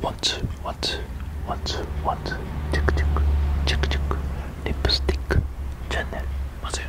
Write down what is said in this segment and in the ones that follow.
One two one two one two one two tick tick tick tick lipstick channel 맞아요.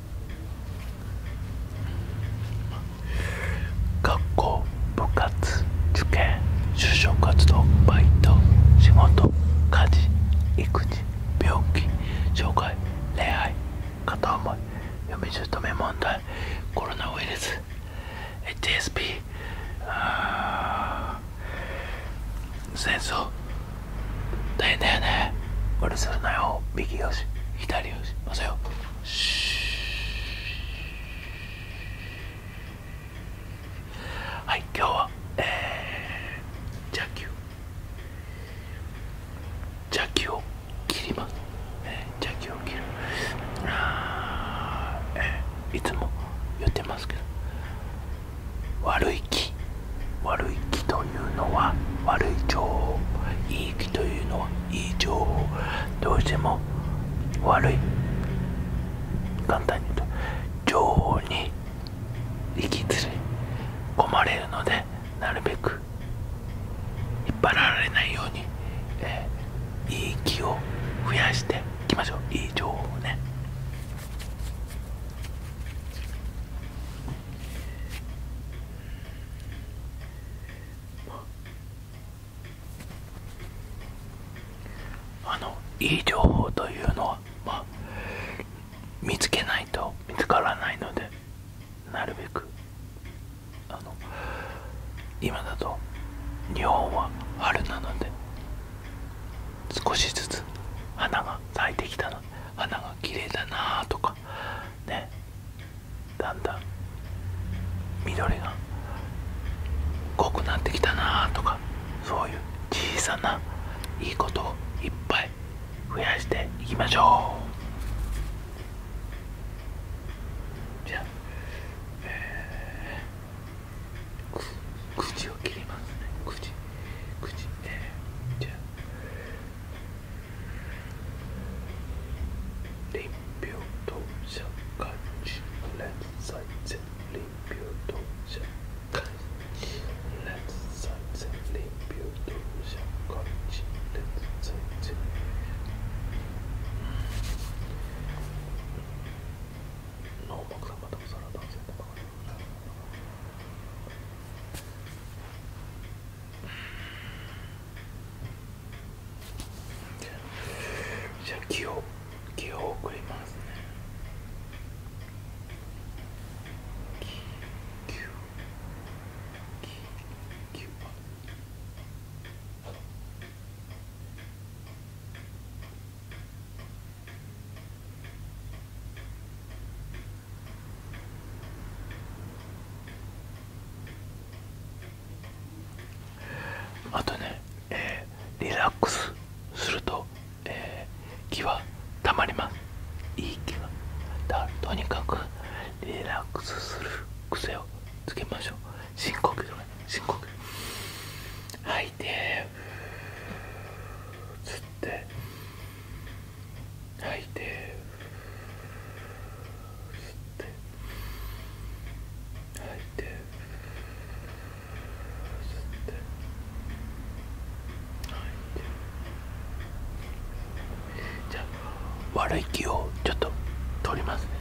学校部活受験就職活動バイト仕事家事育児病気障害恋愛片思い嫁姑問題コロナウイルス HSP 戦争大変だよねよまさよはい今日はえー、ジャッキをジャッキを切ります、えー、ジャッキを切るあ、えー、いつも言ってますけど悪い木悪い木といういうのは悪い情報いい気というのはいい情報どうしても悪い簡単に言うと情報に行きつり込まれるのでなるべく引っ張られないように、えー、いい気を増やしていきましょういい情報ね。あのいい情報というのは、ま見つけないと見つからないのでなるべくあの今だと日本は春なので少しずつ花が咲いてきたので花が綺麗だなとかねだんだん緑が濃くなってきたなとかそういう小さないいことをいっぱい増やしていきましょうじゃあ、えー、口を切りますね口口えー、じゃあ臨病当社会人連載前臨病当社会人連載前臨病当社会人連載前ノーマクさんまたお皿男性のままでございます。じゃあ気を気を送りますね気気気気あとね、リラックスすると、気はたまりますいい気はとにかくリラックスする癖をつけましょう深呼吸とかね深呼吸吐いて吸って吐いて吸って吐いて吸って吐いてじゃあ悪い気をちょっと取りますねはい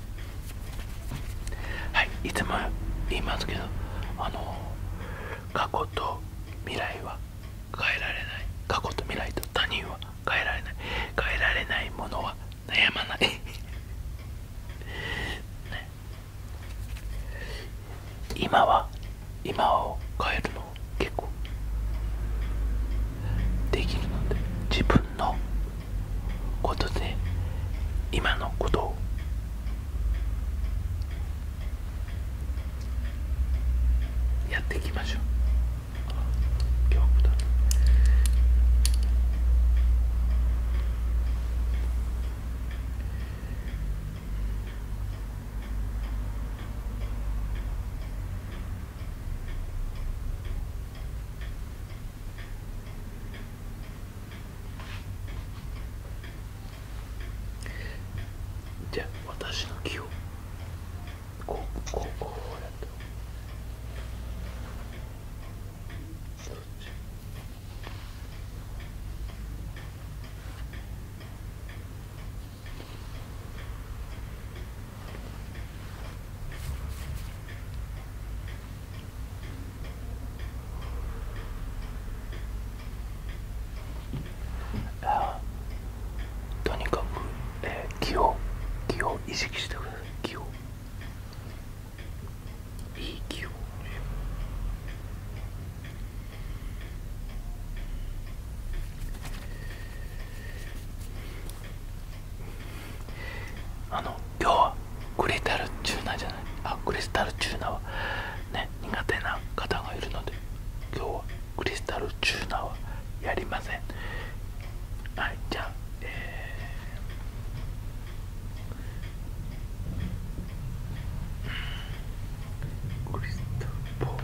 はいいつも言いますけどあの過去と未来は変えられない過去と未来と他人は変えられない変えられないものは悩まない、今は今を変えるの結構できるので自分のことで今のことをやっていきましょう今日だじゃあ私の気をこうこうこうやってそっちあとにかく、えー、気を気を意識してくだ気をいい気をあの今日はクレタルチューナーじゃないあクリスタルチューナーはね苦手な方がいるので今日はクリスタルチューナーはやりませんはいじゃあえー、クリスタルポ。ール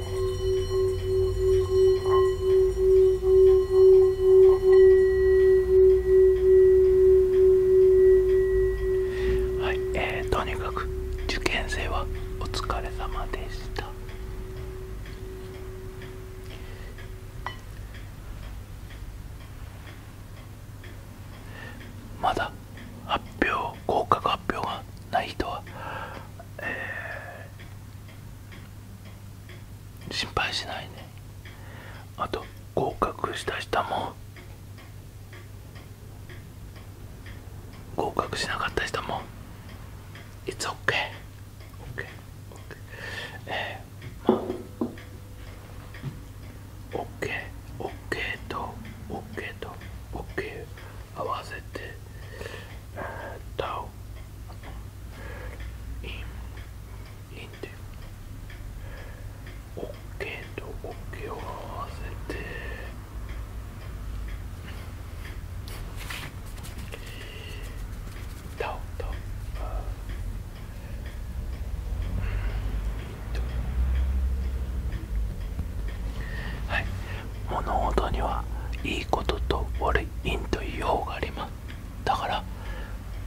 はいえー、とにかく受験生はお疲れ様でしたまだ発表合格発表がない人は、ええ。心配しないねあと合格した人も合格しなかった人も It's OKOKOK、okay. okay. okay. えー、まあ OKOK、OK、と OK と OK 合わせて Tau in l i n d オッケーとオッケーを合わせてタオタオはい物事にはいいことと悪い因という用がありますだから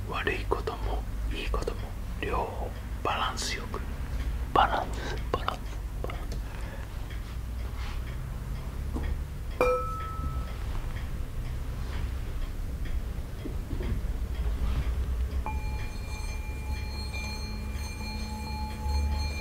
悪いこともいいことも両方バランスよくバランスバランスバランス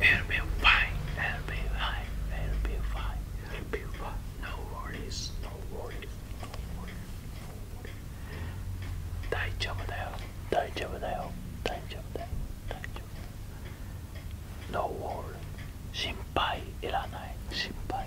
It'll be fine, it'll be fine, it'll be fine, it'll be fine. No worries, no worries, no worries, no worries. 大丈夫だよ、大丈夫だよ、大丈夫だよ、大丈夫だよ。No worries, 心配いらない、心配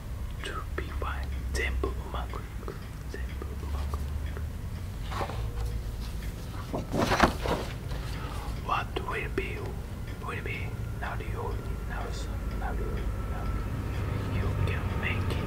want to What will be will be not you now now you now you can make it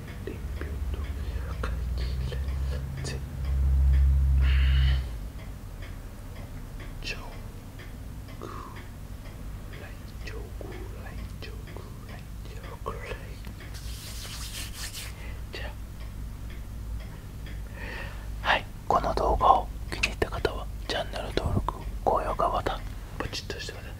はいこの動画を気に入った方はチャンネル登録高評価ボタンポチッとしてください